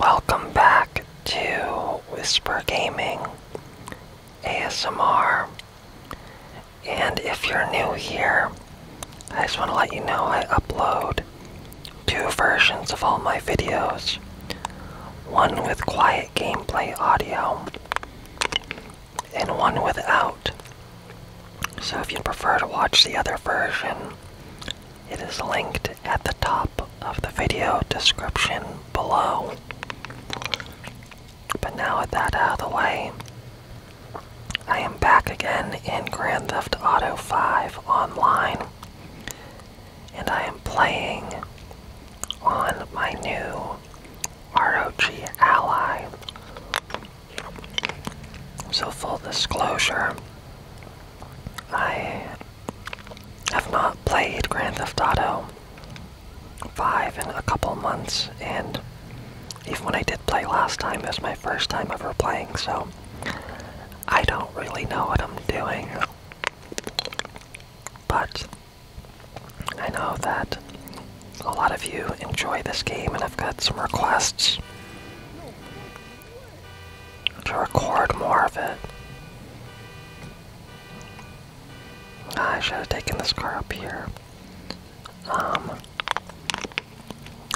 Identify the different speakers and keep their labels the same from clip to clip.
Speaker 1: Welcome back to Whisper Gaming ASMR. And if you're new here, I just want to let you know I upload two versions of all my videos. One with quiet gameplay audio and one without. So if you prefer to watch the other version, it is linked at the top of the video description below. But now with that out of the way, I am back again in Grand Theft Auto 5 online. And I am playing on my new ROG Ally. So, full disclosure, I have not played Grand Theft Auto 5 in a couple months, and even when I did play last time, it was my first time ever playing, so I don't really know what I'm doing. But I know that a lot of you enjoy this game, and I've got some requests to record more of it. Ah, I should have taken this car up here. Um,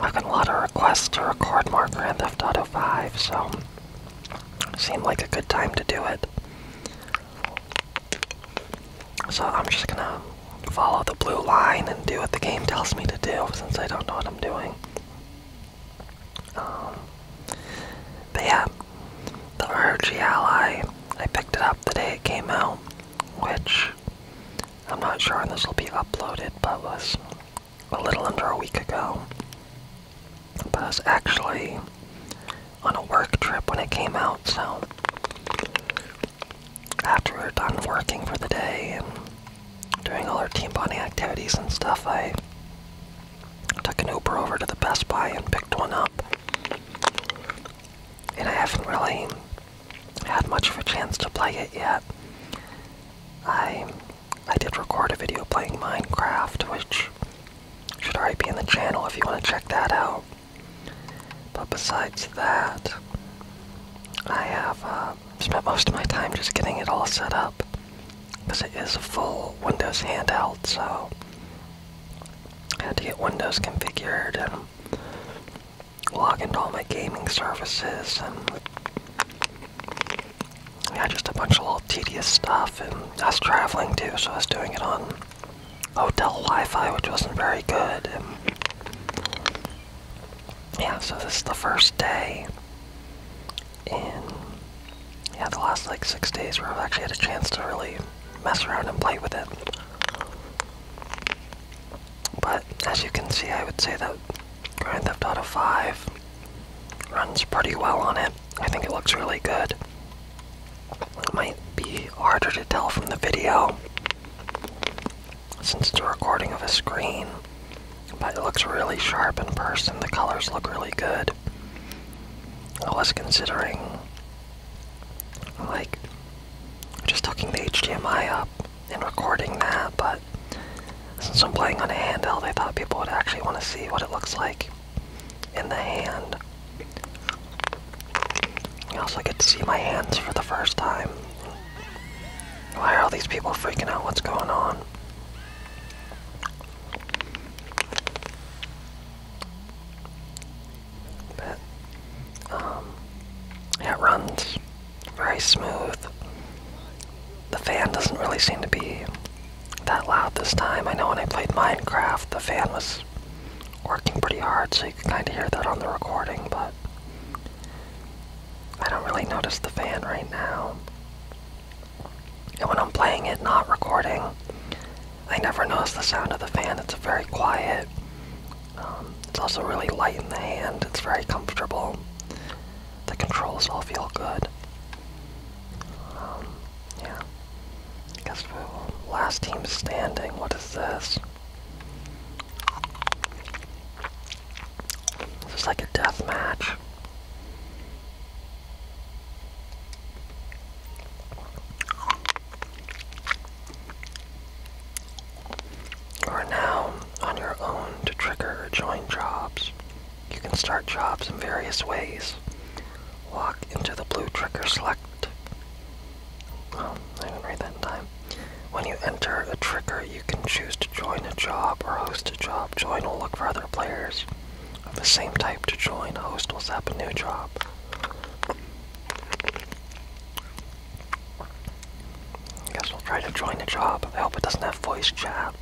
Speaker 1: I've got a lot of requests to record more Grand Theft Auto 5, so seemed like a good time to do it. So I'm just gonna follow the blue line and do what the game tells me to do since I don't know what I'm doing. Um, but yeah, the RG Ally, I picked it up the day it came out, which I'm not sure when this will be uploaded, but was a little under a week ago. But was actually on a work trip when it came out, so after we are done working for the day Doing all our team bonding activities and stuff, I took an Uber over to the Best Buy and picked one up. And I haven't really had much of a chance to play it yet. I I did record a video playing Minecraft, which should already be in the channel if you want to check that out. But besides that, I have a. Uh, um, spent most of my time just getting it all set up because it is a full Windows handheld, so I had to get Windows configured and log into all my gaming services and yeah, just a bunch of little tedious stuff. And I was traveling too, so I was doing it on hotel Wi-Fi, which wasn't very good yeah, so this is the first day in yeah the last like six days where I've actually had a chance to really mess around and play with it. But as you can see, I would say that Grand Theft Auto 5 runs pretty well on it. I think it looks really good. It might be harder to tell from the video since it's a recording of a screen. But it looks really sharp in person. The colors look really good. I was considering, like, just hooking the HDMI up and recording that, but since I'm playing on a handheld, I thought people would actually want to see what it looks like in the hand. I also get to see my hands for the first time why are all these people freaking out? What's going on? But, um, it runs very smooth. The fan doesn't really seem to be that loud this time. I know when I played Minecraft, the fan was working pretty hard, so you can kind of hear that on the recording, but I don't really notice the fan right now. And when I'm playing it, not recording, I never notice the sound of the fan. It's very quiet. Um, it's also really light in the hand. It's very comfortable. The controls all feel good. Um, yeah. guess we Last team standing. What is this? This is like a death match. You are now on your own to trigger join jobs. You can start jobs in various ways. Walk into the blue trigger select. Oh, I didn't read that in time. When you enter a trigger, you can choose to join a job or host a job. Join will look for other players of the same type to join. Host will zap a new job. I guess we'll try to join a job. I hope it doesn't have voice chat.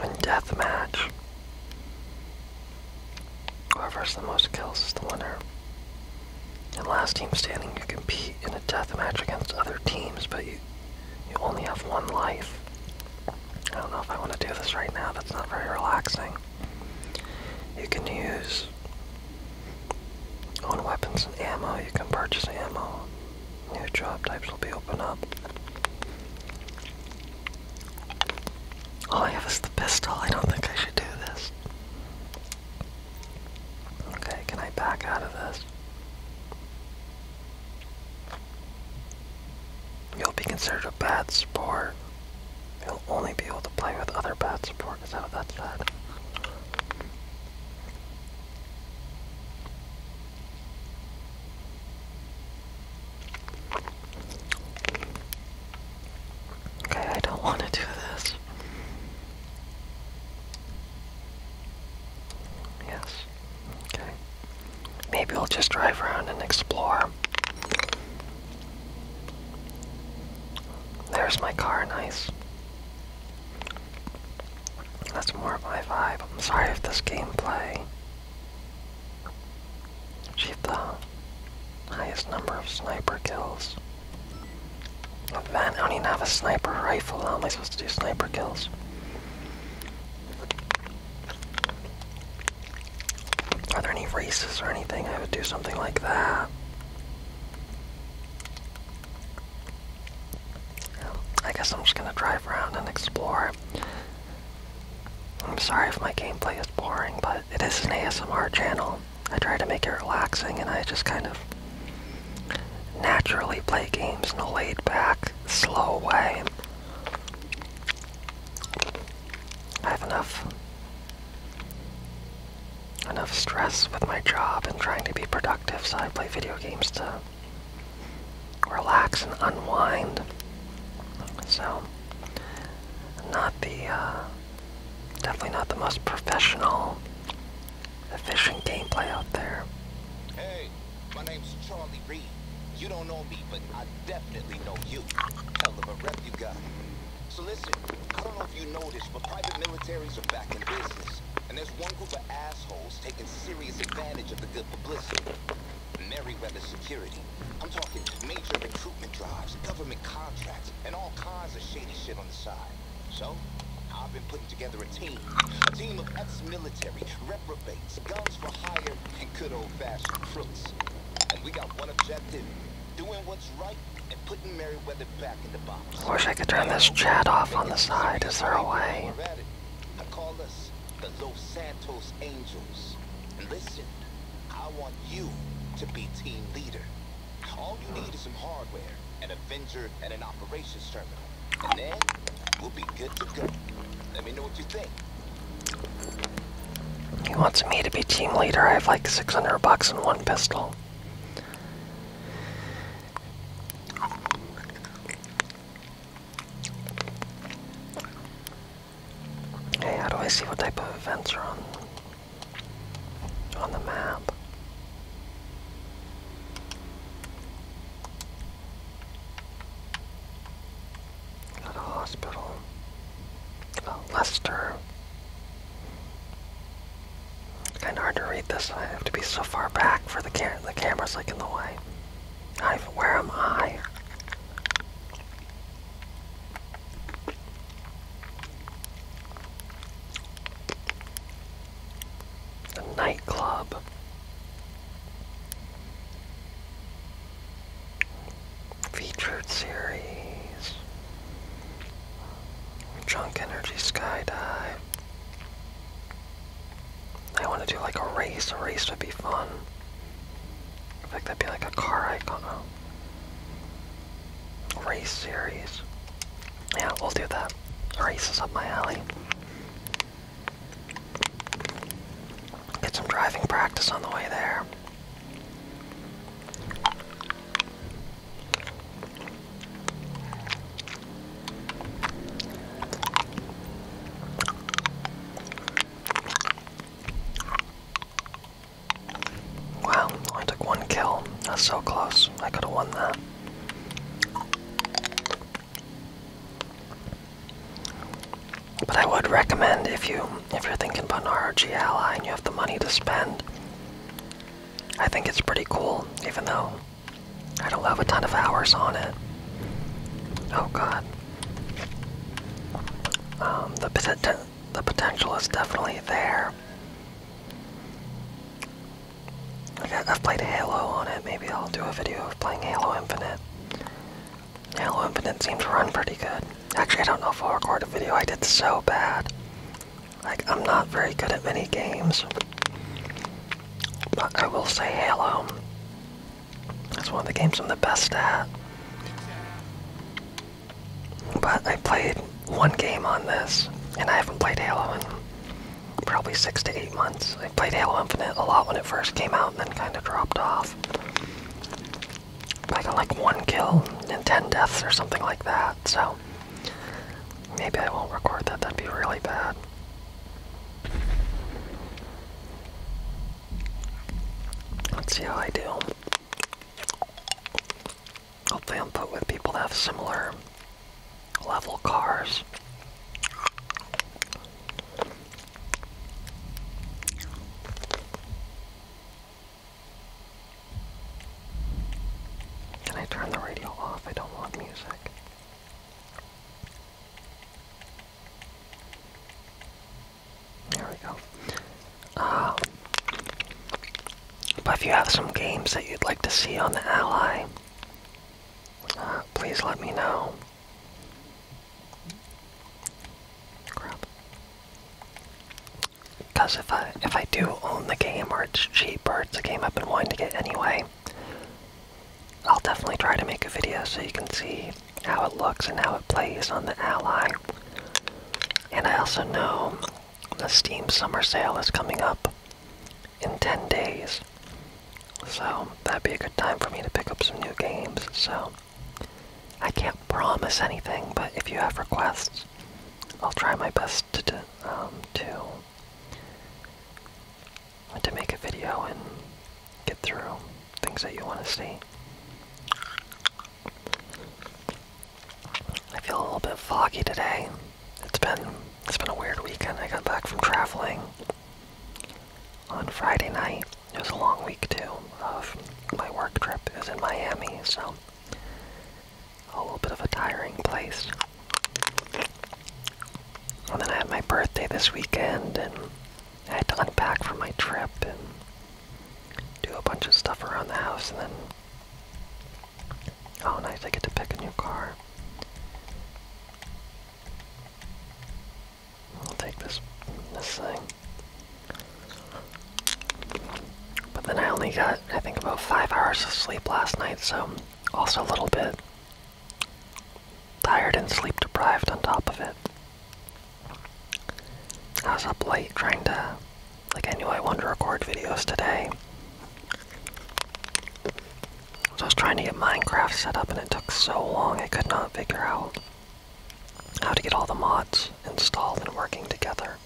Speaker 1: And deathmatch. Whoever has the most kills is the winner. And last team standing, you compete in a death match against other teams, but you you only have one life. I don't know if I want to do this right now. That's not very relaxing. You can use on weapons and ammo. You can purchase ammo. New job types will be open up. All I have is the pistol. I don't think I should do this. Okay, can I back out of this? You'll be considered a bad sport. You'll only be able to play with other bad sports. Is that that Okay, I don't want to do this. Yes. Okay. Maybe we'll just drive around and explore. There's my car, nice. That's more of my vibe. I'm sorry if this gameplay she had the highest number of sniper kills. With that, I don't even have a sniper rifle. How am I supposed to do sniper kills? Are there any races or anything? I would do something like that. I guess I'm just gonna drive around and explore. I'm sorry if my gameplay is boring, but it is an ASMR channel. I try to make it relaxing and I just kind of naturally play games in a laid back, slow way. I have enough enough stress with my job and trying to be productive, so I play video games to relax and unwind. So not the, uh, definitely not the most professional, efficient gameplay out there. Hey, my name's Charlie Reed. You don't know me, but I definitely know you. Hell of a rep you got. So listen, I don't know if you noticed, but private militaries are back in business. And there's one group of assholes taking serious advantage of the good publicity. Meriwether Security. I'm talking major recruitment drives, government contracts, and all kinds of shady shit on the side. So, I've been putting together a team. A team of ex-military, reprobates, guns for hire, and good old-fashioned crooks. And we got one objective, doing what's right and putting Meriwether back in the box. I wish I could turn this chat off on the side. Is there a way? I call us the Los Santos Angels. listen, I want you to be team leader. All you need is some hardware, an Avenger, and an operations terminal. And then, we'll be good to go. Let me know what you think. He wants me to be team leader. I have like 600 bucks and one pistol. Hey, how do I see what type of events are on on the map? At a hospital. Oh, Lester. kind of hard to read this. I have to be so far back for the camera. The camera's like in the way. I, where am I? A nightclub. Featured series. Junk Energy Skydive. I want to do like a race. A race would be fun. I think that'd be like a car icon. Race series. Yeah, we'll do that. Race is up my alley. Get some driving practice on the way there. Wow, only took one kill. That's so close. I could have won that. But I would recommend if you if you're thinking about an ROG ally and you have the money to spend, I think it's pretty cool, even though I don't have a ton of hours on it. Oh god. Um, the the potential is definitely there. I, I've played Halo on it. Maybe I'll do a video of playing Halo Infinite. Halo Infinite seems to run pretty good. Actually, I don't know if I'll record a video. I did so bad. Like, I'm not very good at many games. But I will say Halo. That's one of the games I'm the best at. But I played one game on this, and I haven't played Halo in probably six to eight months. I played Halo Infinite a lot when it first came out and then kind of dropped off. I got like one kill and ten deaths or something like that, so maybe I won't record that. That'd be really bad. Let's see how I do. Hopefully, I'm put with people that have similar level cars. Can I turn the radio off? I don't want music. There we go. Uh, but if you have some games that you'd like to see on the Ally, uh, please let me know. Because if I if I do own the game or it's cheap or it's a game I've been wanting to get anyway, I'll definitely try to make a video so you can see how it looks and how it plays on the Ally. And I also know the Steam Summer Sale is coming up in 10 days. So that'd be a good time for me to pick up some new games. So I can't promise anything, but if you have requests, I'll try my best to, um, to to make a video and get through things that you want to see. I feel a little bit foggy today. It's been it's been a weird weekend. I got back from traveling on Friday night. It was a long week too. Of my work trip is in Miami, so a little bit of a tiring place. And then I had my birthday this weekend, and I had to unpack from my trip, and do a bunch of stuff around the house and then oh nice I get to pick a new car I'll take this this thing but then I only got I think about five hours of sleep last night so also a little bit tired and sleep deprived on top of it I was up late trying to, like, I knew I wanted to record videos today. So I was trying to get Minecraft set up and it took so long I could not figure out how to get all the mods installed and working together.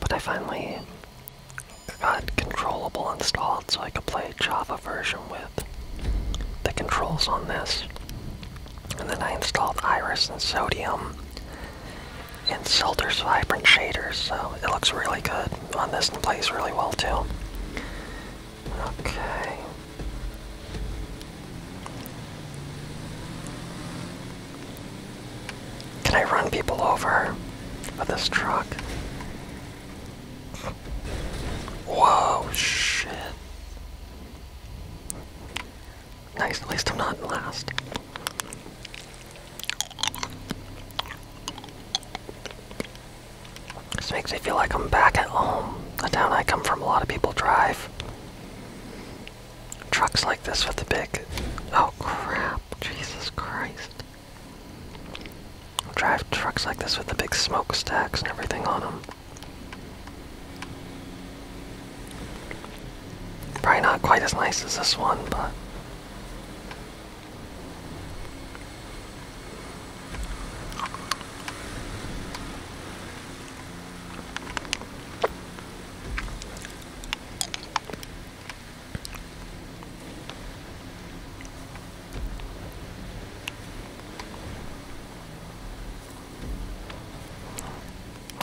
Speaker 1: But I finally got controllable installed so I could play Java version with the controls on this. And then I installed Iris and Sodium and Selter's Vibrant Shaders, so it looks really good on this and plays really well too. Okay. Can I run people over with this truck? Whoa, shit. Nice, at least I'm not last. This makes me feel like I'm back at home. The town I come from, a lot of people drive trucks like this with the big. Oh crap! Jesus Christ! drive trucks like this with the big smokestacks and everything on them. Probably not quite as nice as this one, but.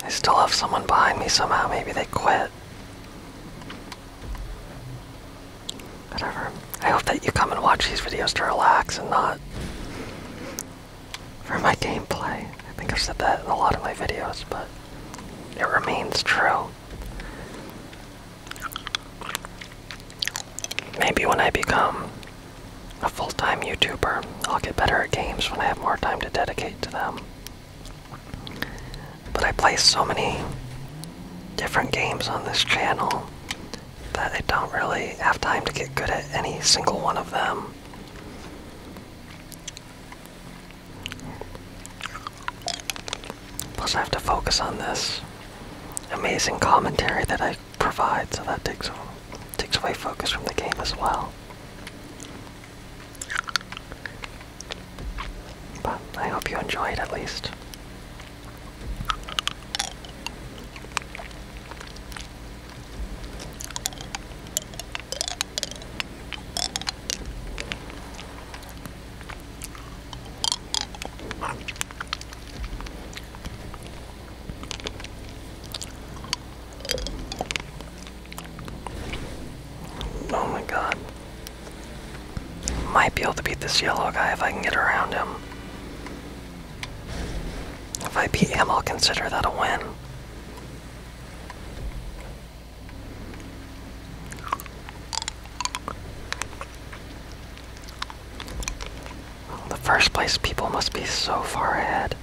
Speaker 1: I still have someone behind me somehow. Maybe they quit. Whatever. I hope that you come and watch these videos to relax and not for my gameplay. I think I've said that in a lot of my videos, but. It remains true. Maybe when I become a full time YouTuber, I'll get better at games when I have more time to dedicate to them. But I play so many different games on this channel that I don't really have time to get good at any single one of them. Plus, I have to focus on this amazing commentary that I provide, so that takes away focus from the game as well. But I hope you enjoyed at least. Oh my god. Might be able to beat this yellow guy if I can get around him. If I beat him, I'll consider that a win the first place people must be so far ahead.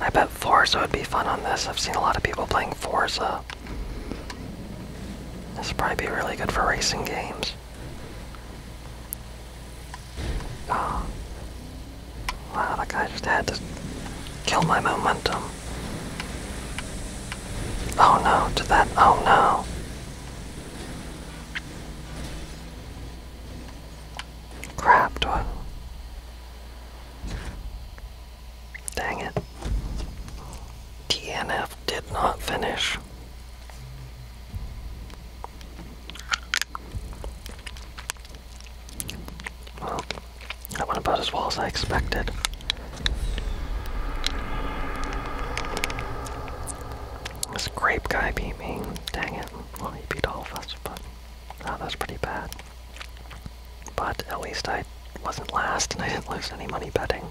Speaker 1: I bet Forza would be fun on this. I've seen a lot of people playing Forza. This would probably be really good for racing games. Oh. Wow, that guy just had to kill my momentum. Oh no, to that, oh no. Crap, do Dang it. TNF did not finish. Well, that went about as well as I expected. This grape guy beating, me. Dang it. Well, he beat all of us, but oh, that was pretty bad. But at least I wasn't last and I didn't lose any money betting.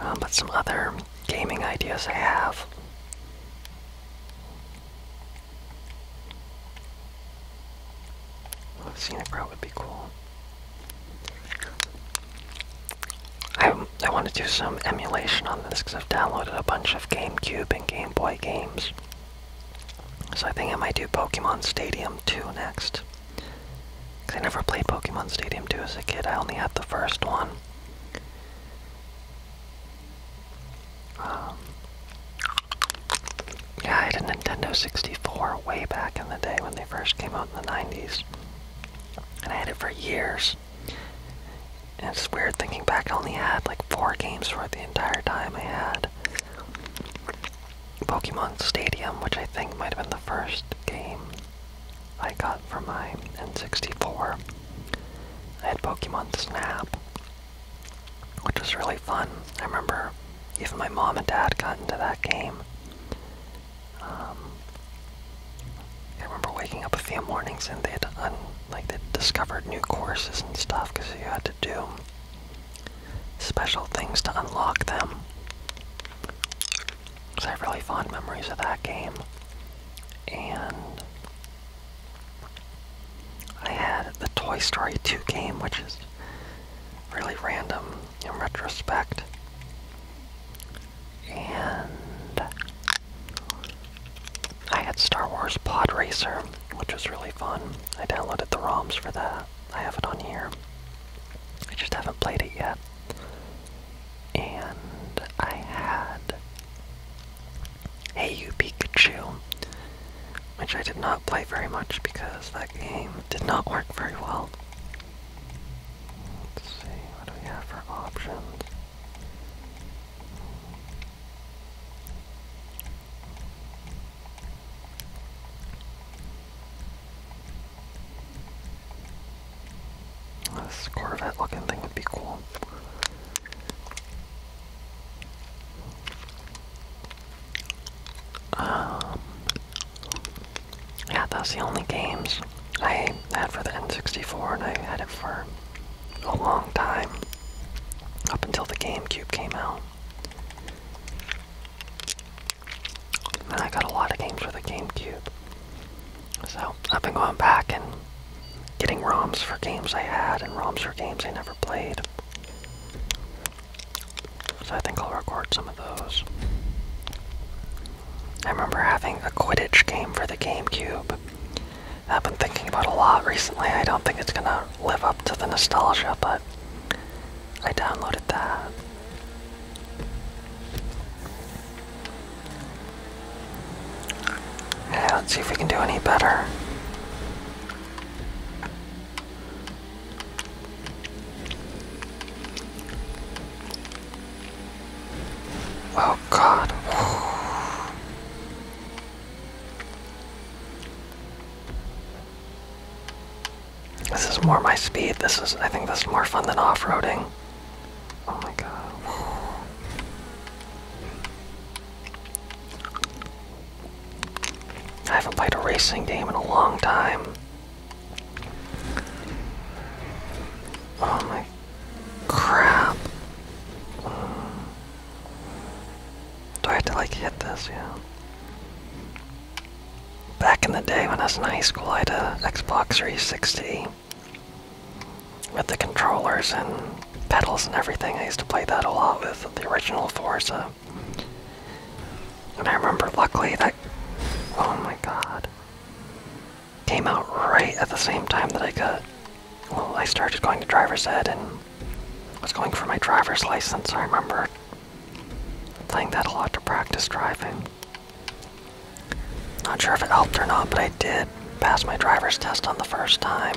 Speaker 1: Um, but some other gaming ideas I have. Well, oh, scenic would be cool. I, I want to do some emulation on this because I've downloaded a bunch of GameCube and Game Boy games. So I think I might do Pokemon Stadium 2 next. Because I never played Pokemon Stadium 2 as a kid, I only had the first one. Um, yeah, I had a Nintendo 64 way back in the day when they first came out in the 90s. And I had it for years. And it's weird thinking back, I only had like four games for the entire time I had. Pokemon Stadium, which I think might have been the first game I got for my N64. I had Pokemon Snap, which was really fun. I remember even my mom and dad got into that game. Um, I remember waking up a few mornings and they had like they discovered new courses and stuff because you had to do special things to unlock them. Because I have really fond memories of that game. And I had the Toy Story 2 game, which is really random in retrospect. And I had Star Wars Pod Racer, which was really fun. I downloaded the ROMs for that. I have it on here. I just haven't played it yet. And I had Hey You Pikachu, which I did not play very much because that game did not work very well. Let's see, what we have for options? This Corvette looking thing would be cool. Um, yeah, that's the only games I had for the N64, and I had it for a long time, up until the GameCube came out. And I got a lot of games for the GameCube. So I've been going back and getting ROMs for games I had and ROMs for games I never played. So I think I'll record some of those. I remember having a Quidditch game for the GameCube. I've been thinking about a lot recently. I don't think it's gonna live up to the nostalgia, but I downloaded that. Yeah, let's see if we can do any better. Oh God. This is more my speed. This is, I think this is more fun than off-roading. Oh my god. I haven't played a racing game in a long time. Oh my crap. Do I have to like hit this? Yeah. Back in the day when I was in high school, I had a Xbox 360 with the controllers and pedals and everything. I used to play that a lot with the original Forza. And I remember, luckily, that. Oh my god. Came out right at the same time that I got well, I started going to driver's ed and was going for my driver's license. I remember playing that a lot to practice driving. Not sure if it helped or not, but I did pass my driver's test on the first time.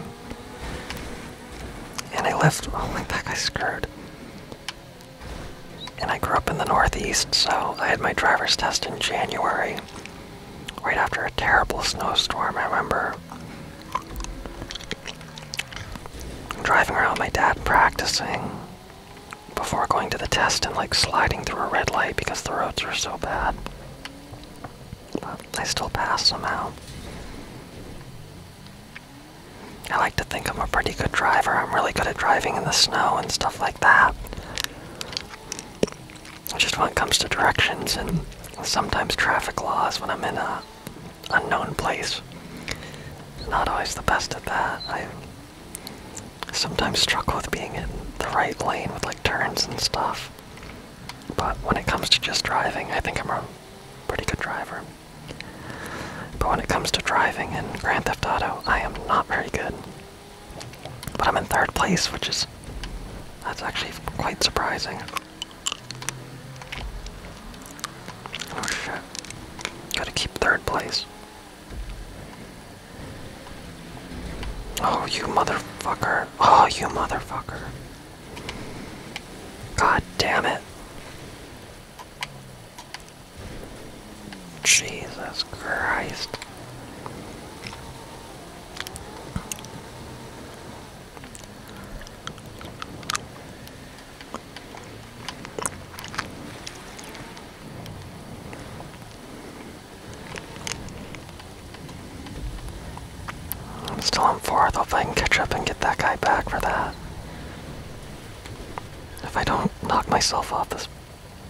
Speaker 1: And I left. oh, my that guy's screwed. And I grew up in the Northeast, so I had my driver's test in January, right after a terrible snowstorm. I remember driving around with my dad practicing before going to the test and like sliding through a red light because the roads are so bad. But I still passed somehow. I like to think I'm a pretty good driver. I'm really good at driving in the snow and stuff like that. Just when it comes to directions and sometimes traffic laws when I'm in a unknown place. Not always the best at that. I sometimes struggle with being in the right lane with like turns and stuff. But when it comes to just driving, I think I'm a pretty good driver. But when it comes to driving in Grand Theft Auto, I am not very good. But I'm in third place, which is that's actually quite surprising. Oh shit. Gotta keep third place. Oh, you motherfucker. Oh, you motherfucker. God damn it. Jesus Christ. I'm still on fourth. I'll I can catch up and get that guy back for that. If I don't knock myself off this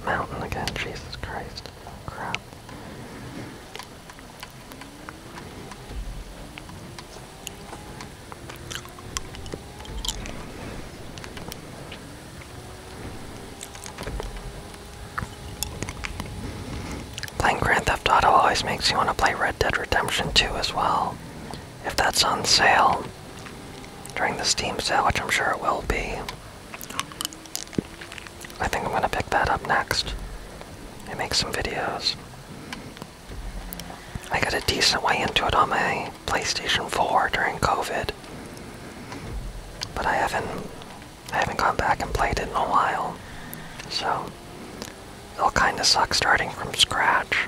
Speaker 1: mountain again, Jesus Christ. Crap. Playing Grand Theft Auto always makes you want to play Red Dead Redemption 2 as well. If that's on sale during the Steam sale, which I'm sure it will be. I think I'm gonna pick that up next and make some videos. I got a decent way into it on my PlayStation 4 during COVID. But I haven't I haven't gone back and played it in a while. So it'll kinda suck starting from scratch.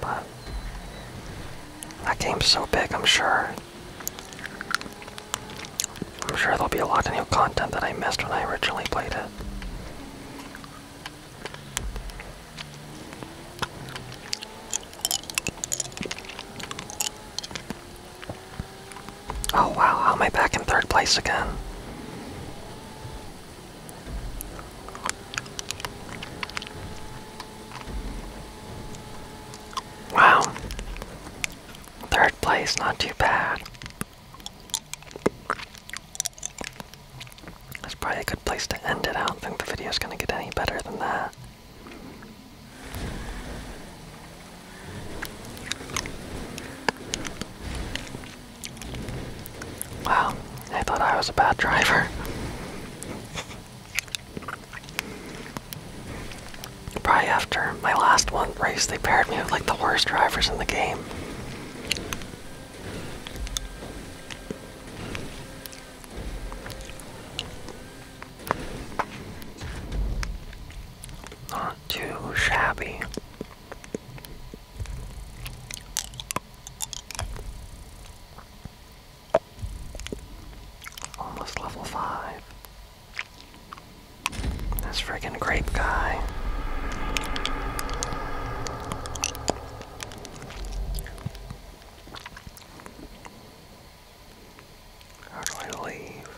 Speaker 1: But that game's so big I'm sure. I'm sure there'll be a lot of new content that I missed when I originally played it. Oh wow, how am I back in third place again? Wow. Third place, not too bad. That's probably a good place to end it. I don't think the video's gonna get any better than that. Wow, I thought I was a bad driver. Probably after my last one race, they paired me with like the worst drivers in the game. Not too shabby. Almost level five. This frigging grape guy. How do I leave?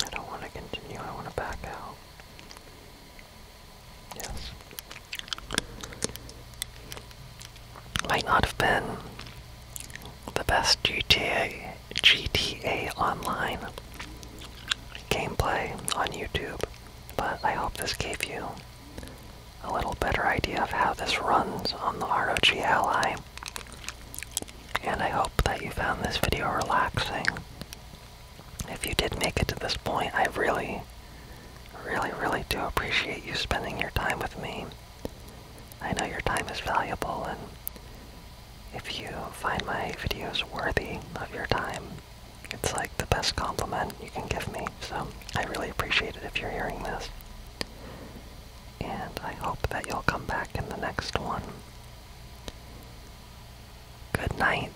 Speaker 1: I don't want to continue, I want to back out. Yes. Might not have been the best GTA GTA online gameplay on YouTube, but I hope this gave you a little better idea of how this runs on the ROG Ally. And I hope that you found this video relaxing if you did make it to this point, I really, really, really do appreciate you spending your time with me. I know your time is valuable, and if you find my videos worthy of your time, it's like the best compliment you can give me. So I really appreciate it if you're hearing this. And I hope that you'll come back in the next one. Good night.